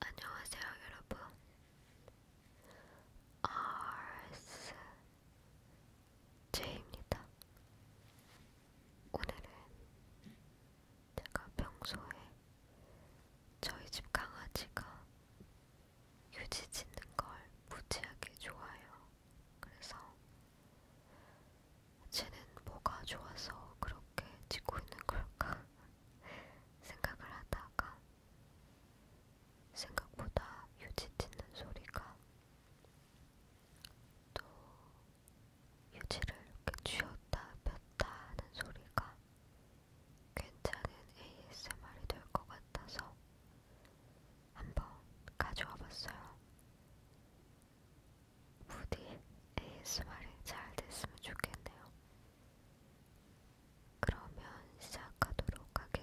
안녕하세요, 여러분. 아스 제입니다. 오늘은 제가 평소에 저희 집 강아지가 휴지 짓는 걸 무지하게 좋아해요. 그래서 쟤는 뭐가 좋아서 그렇게 짓고 있는 걸까 생각을 하다가 생각보다 휴지 짓는 소리가 또 휴지를 이렇게 쥐었다 폈다 하는 소리가 괜찮은 ASMR이 될 것 같아서 한번 가져와 봤어요. 부디 ASMR이 잘 됐으면 좋겠네요. 그러면 시작하도록 하겠습니다.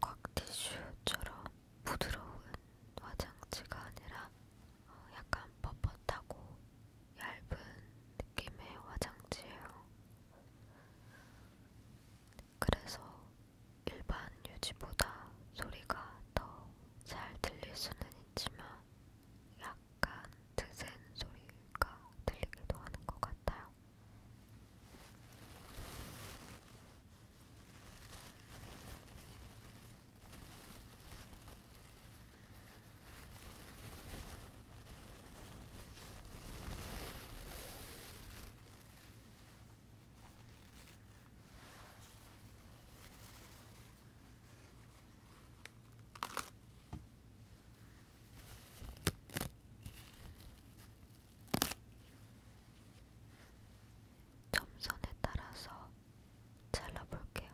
꽉티슈처럼 부드러운 화장지가 아니라 어, 약간 뻣뻣하고 얇은 느낌의 화장지예요. 그래서 일반 유지보다 소리가 더 잘 들릴 수는 있지만 약간 드센 소리가 들리기도 하는 것 같아요. 점선에 따라서 잘라볼게요.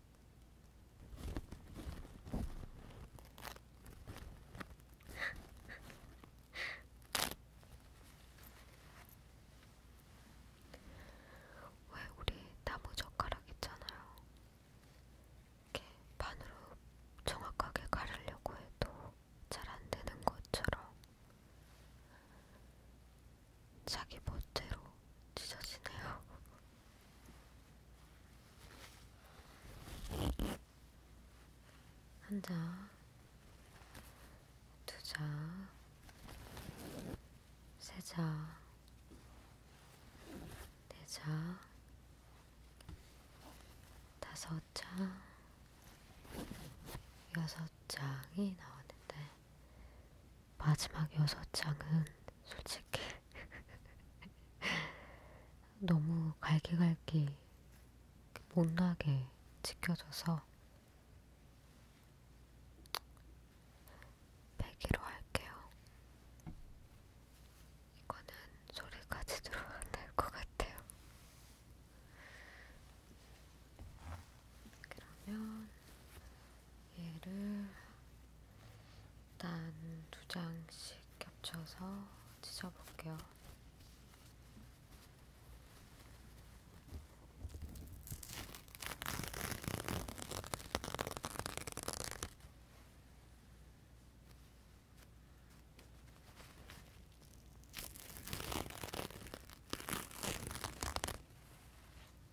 왜 우리 나무 젓가락 있잖아요. 이렇게 반으로 정확하게 가르려고 해도 잘 안 되는 것처럼 자기 멋대로 찢어지네요. 한 장, 두 장, 세 장, 네 장, 다섯 장, 여섯 장이 나오는데 마지막 여섯 장은 솔직히 너무 갈기갈기 못나게 지켜줘서 100으로 할게요. 이거는 소리까지 들어갈 것 같아요. 그러면 얘를 일단 두 장씩 겹쳐서 찢어볼게요.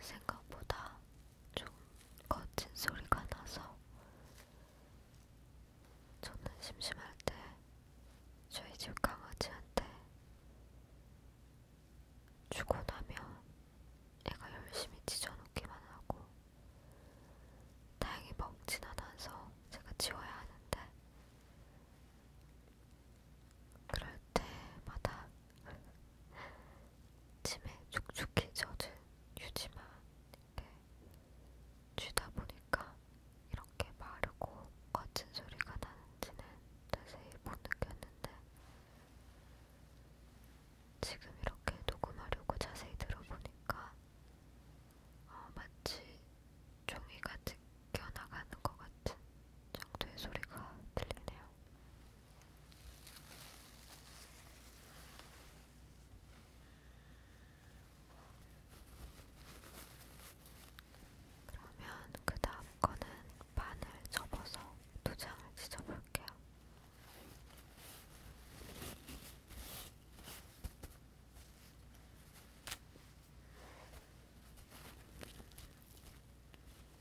생각보다 좀 거친 소리가 나서 저는 심심할 때 저희 집 강아지한테 주고 나면 애가 열심히 찢어놓기만 하고 다행히 먹진 않아서 제가 지워야 하는데 그럴 때마다 침에 촉촉히 젖은 유지만 이렇게 쥐다 보니까 이렇게 마르고 거친 소리가 나는지는 자세히 못 느꼈는데 지금 이렇게 녹음하려고 자세히 들어보니까 어, 마치 종이가 뜯겨나가는 것 같은 정도의 소리가 들리네요. 그러면 그 다음 거는 반을 접어서 두 장을 찢어볼게요.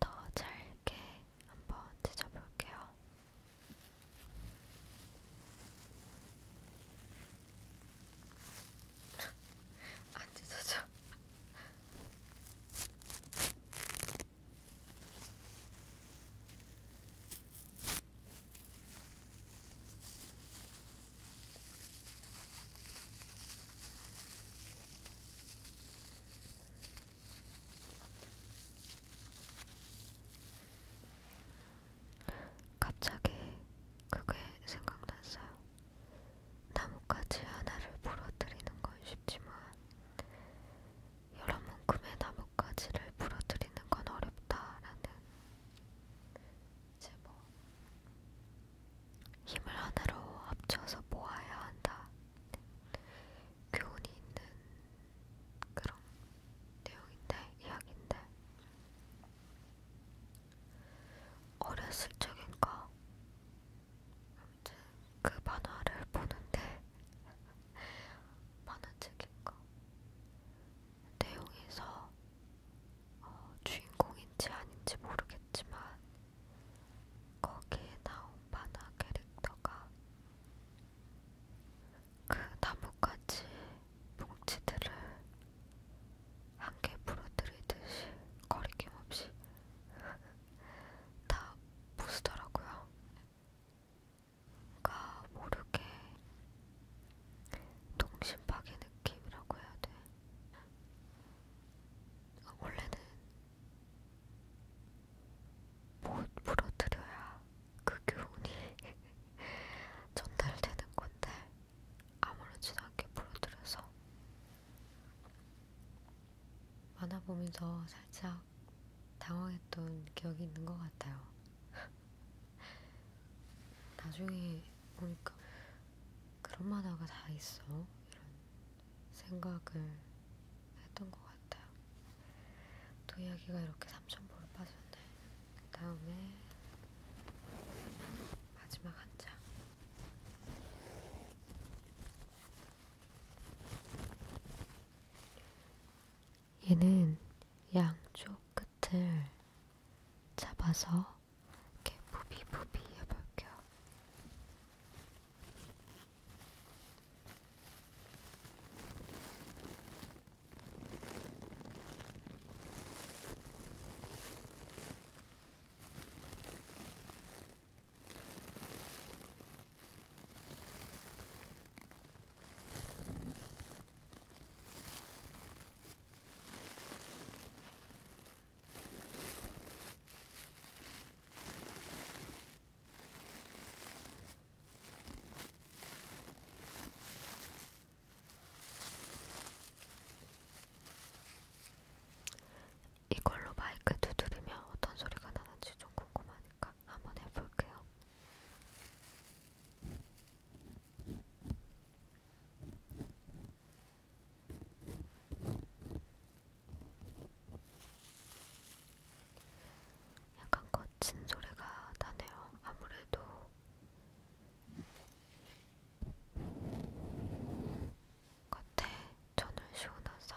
더 잘게 한번 찢어볼게요. 안 찢어져. 갑자기 그게 생각났어요. 나뭇가지 하나를 부러뜨리는 건 쉽지만 여러 만큼의 나뭇가지를 부러뜨리는 건 어렵다라는 이제 뭐 힘을 하나로 합쳐서 모아야 한다. 교훈이 있는 그런 내용인데 이야기인데 어렸을 적인가 아무튼 그 만화를 보는데 만화책인가 내용에서 어, 주인공인지 아닌지 모르겠지만 거기에 나온 만화 캐릭터가 그 나뭇가지 뭉치들을 한 개 부러뜨리듯이 거리낌 없이 다 부수더라고요. 그러니까 모르게 동심 파괴 느낌이라고 해야 돼. 아, 원래는 못 뭐 부러뜨려야 그 교훈이 전달되는 건데 아무렇지도 않게 부러뜨려서 만화 보면서 살짝 당황했던 기억이 있는 것 같아요. 나중에 보니까 그런 만화가 다 있어 이런 생각을 했던 것 같아요. 또 이야기가 이렇게 3,000보로 빠졌네. 그 다음에 마지막 한 장. 얘는 양쪽 끝을 잡아서 이렇게 부비부비 해볼게요. 이걸로 마이크 두드리면 어떤 소리가 나는지 좀 궁금하니까 한번 해볼게요. 약간 거친 소리가 나네요. 아무래도 겉에 전을 씌워놔서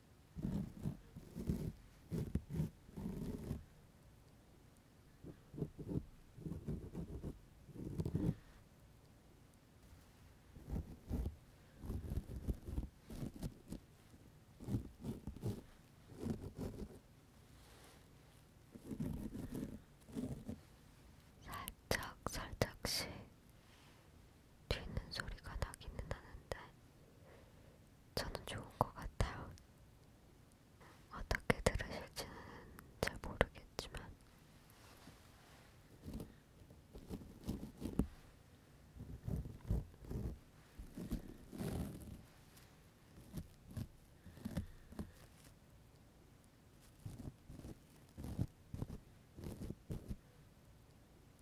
살짝 살짝씩 튀는 소리가 나기는 하는데 저는 좋은 것 같아요. 어떻게 들으실지는 잘 모르겠지만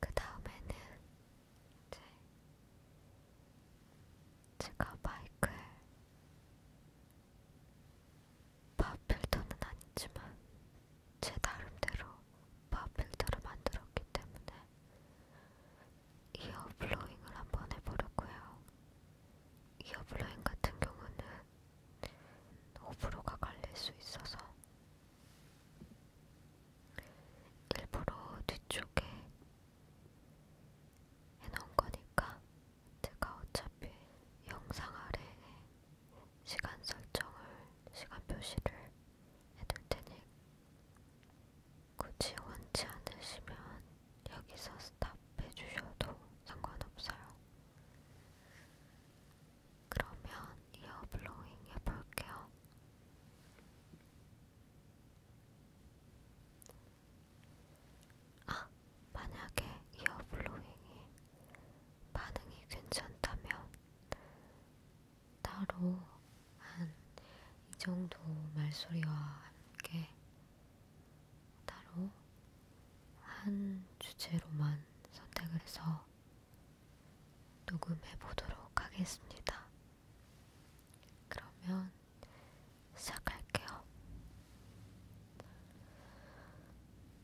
그 다음에는 이제 제가 마이클 바필터는 아니지만 제 나름대로 팝필터를 만들었기 때문에 이어 블로잉을 한번 해보려고요. 이어 블로잉 같은 경우는 호불호가 갈릴 수 있어서 일부러 뒤쪽에 해놓은 거니까 제가 어차피 영상 아래에 시간 설정을, 시간 표시를 해둘 테니 굳이 원치 않으시면 여기서 스탑해 주셔도 상관없어요. 그러면 이어 블로잉 해볼게요. 아, 만약에 이어 블로잉이 반응이 괜찮다면 따로 한 이 정도 말소리와 함께 따로 한 주제로만 선택을 해서 녹음해 보도록 하겠습니다. 그러면 시작할게요.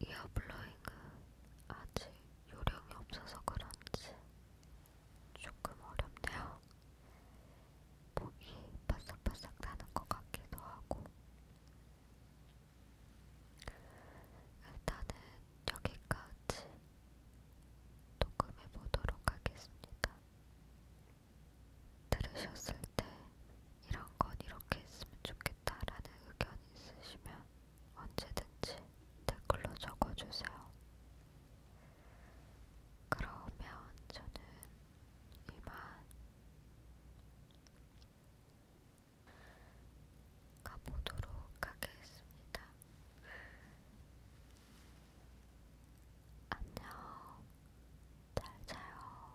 이어블러잉은 아직 요령이 없어서 그런지 조금 어렵네요. 목이 바삭바삭 나는 것 같기도 하고 일단은 여기까지 녹음해 보도록 하겠습니다. 들으셨을 때 이런 건 이렇게 했으면 좋겠다라는 의견 있으시면 언제든지 댓글로 적어주세요. 그러면 저는 이만 가보도록 하겠습니다. 안녕, 잘 자요.